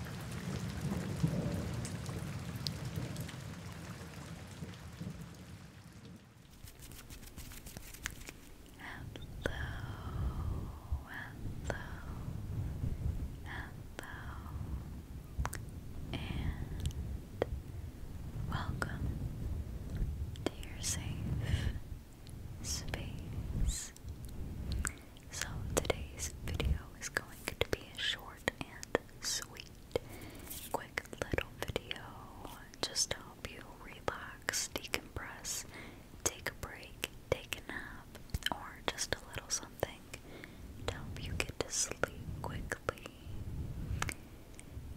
hello, hello, and welcome to your safe space. So today's video is going to be a short and sweet, quick little video just to help you relax, decompress, take a break, take a nap, or just a little something to help you get to sleep quickly.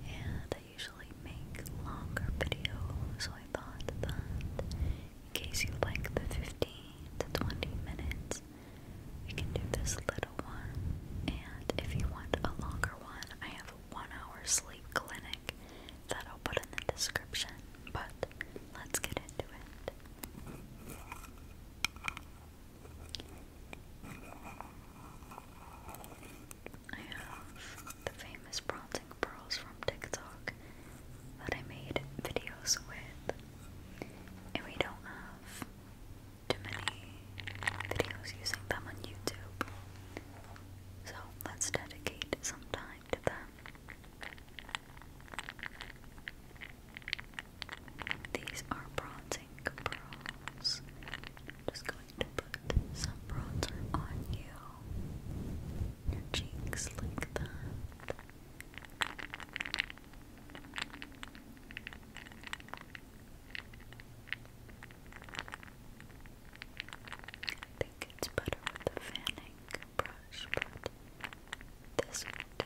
And I usually make longer videos, so I thought that in case you like the 15 to 20 minutes we can do this little one. And if you want a longer one, I have a one hour sleep clinic that I'll put in the description. But let's get into it. I have the famous bronzing pearls from TikTok that I made videos with, and we don't have too many videos using them on YouTube. So let's dedicate some time to them. These are bronzing pearls. just going to put some bronzer on you. Your cheeks like that. I think it's better with the fanning brush, but this will do.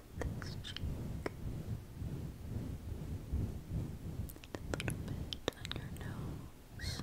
this cheek, a little bit on your nose.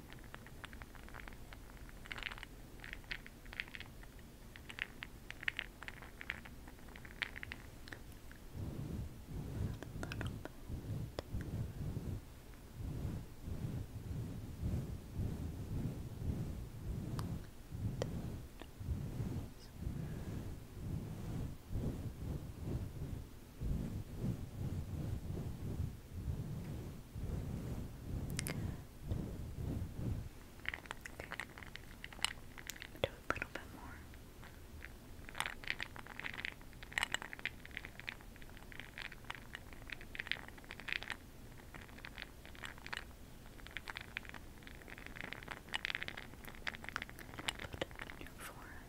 little bit. Ten. Okay. Do a little bit more. Put it on your forehead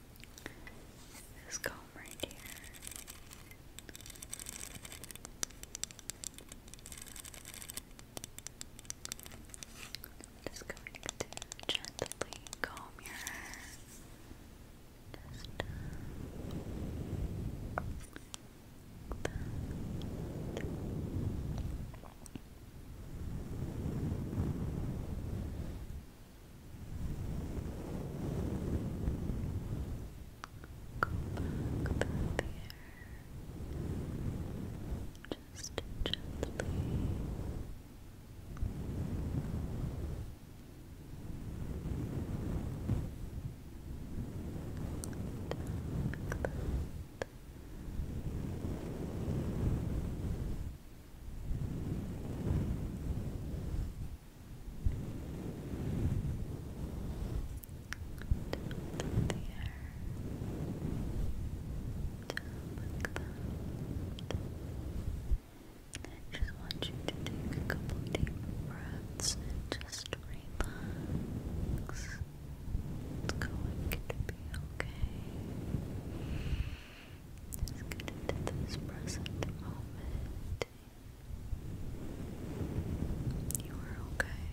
This comb right here. just going gently comb your hair. Uh, Go back through Just gently. I just want you to take a couple deep breaths just relax. It's going to be okay. Just get into this present moment. You are okay.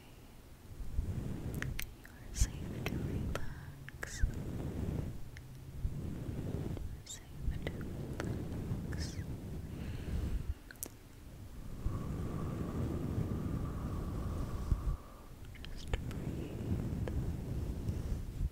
You are safe to relax. safe to relax. Just breathe.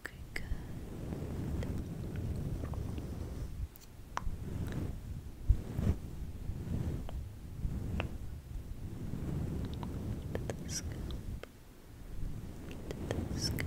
Okay, good. To the scalp. To the scalp.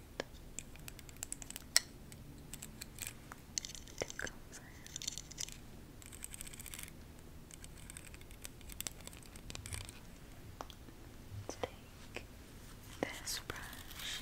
to comfort. take this brush.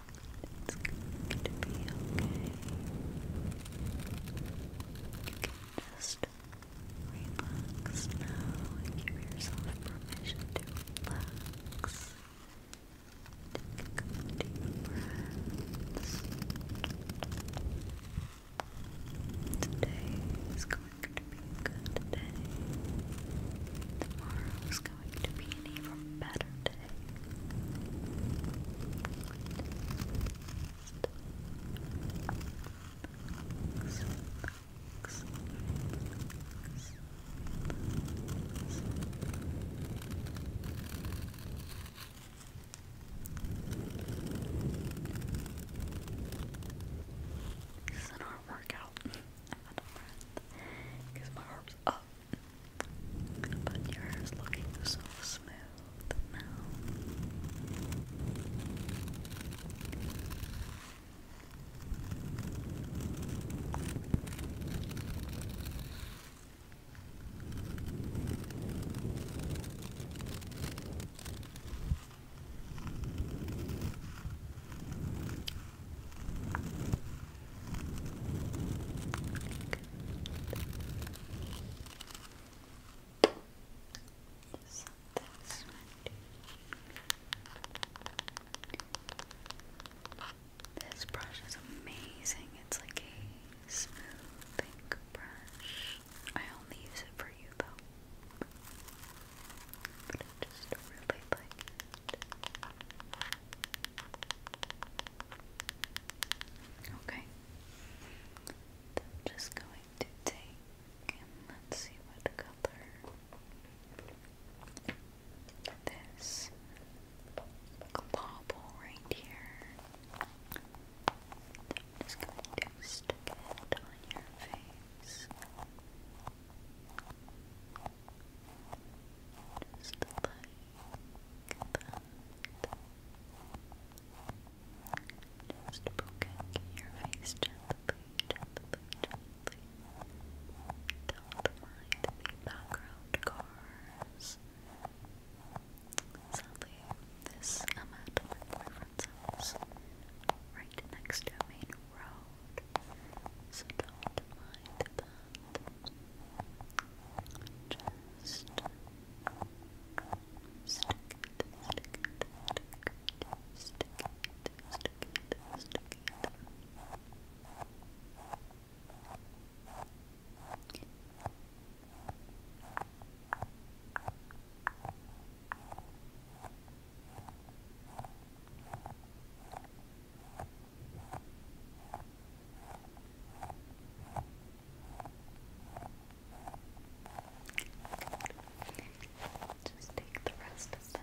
It's going to be okay. You can just relax now and give yourself permission to relax. Take a deep breaths. Today is going to be a good day. Tomorrow is going to be an even better day. This is an arm workout. I'm out of breath because my arm's up but your hair is looking so smooth now this brush is amazing. It's like a smooth pink brush. I only use it for you though. But I just really like it. Okay. I'm just going to take and let's see what color this bobble right here. I'm just going to stick it on your face. Just like that. Just poking your face gently, gently, gently. Don't mind the background cars. Sadly, this I'm my boyfriend's house, right next to main road, so don't mind that. Just stick it, stick it, stick it, stick it, stick it, stick it. Just just take the rest of them.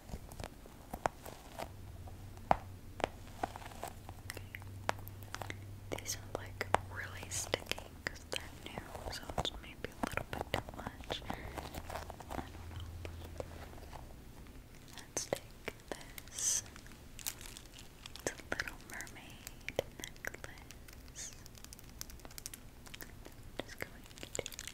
Okay. These are like really sticky because they're new, so it's maybe a little bit too much. I don't know. Let's take this. It's a little mermaid necklace. just going to gently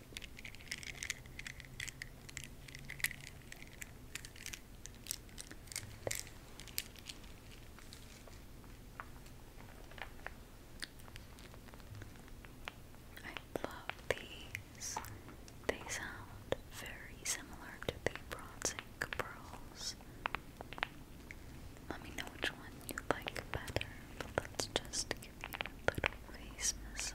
I love these. They sound very similar to the bronze pearls. Let me know which one you like better. let's just little face massage.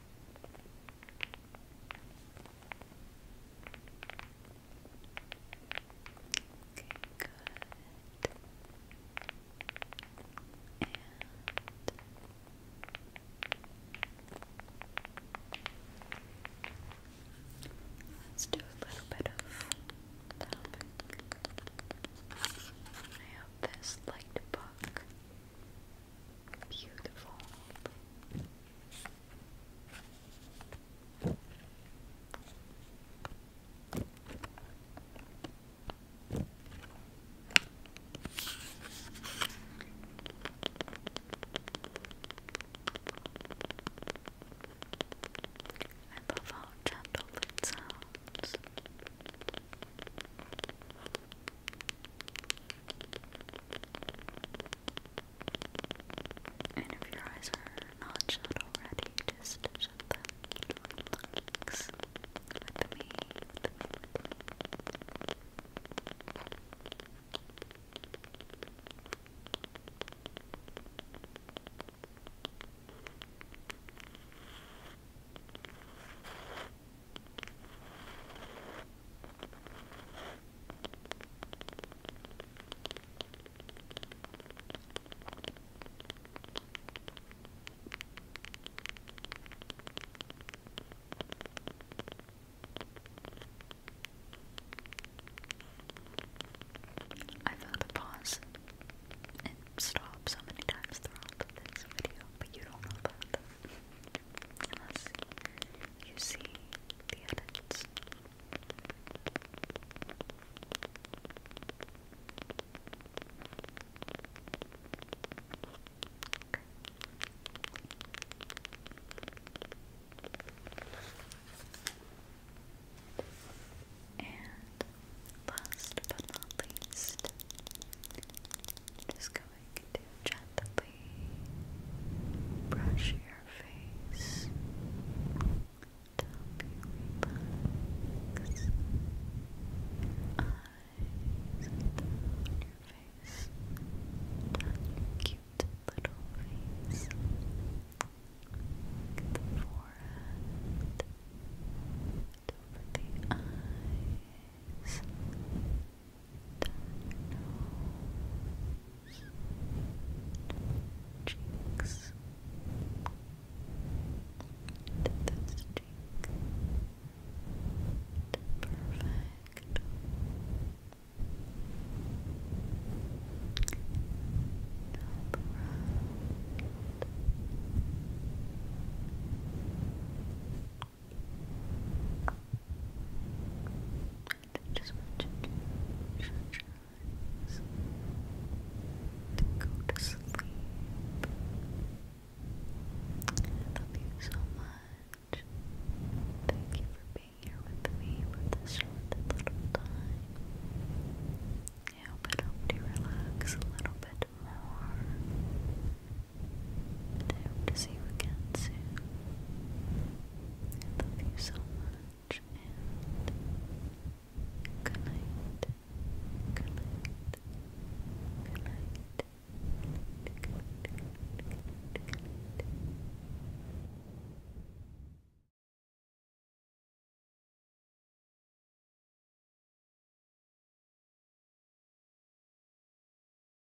Okay, good. let's do a little bit of tapping. I hope this light book Beautiful. I love how gentle it sounds. And if your eyes are not shut already, just shut them. Relax I've had pause and stop so many times throughout this video, but you don't know that you see the edits. And last but not least, just go like to gently brush your face to help you Eyes down your face, down cute little face. the forehead, over the eyes, nose, cheeks, to this cheek, perfect. Up just want you to shut your I love you so much. Thank you for being here with me for this short little time. I hope it helped you relax a little bit more. I hope to see you again soon. love you so much, Good night. Good night. Good night. Good night. Good night.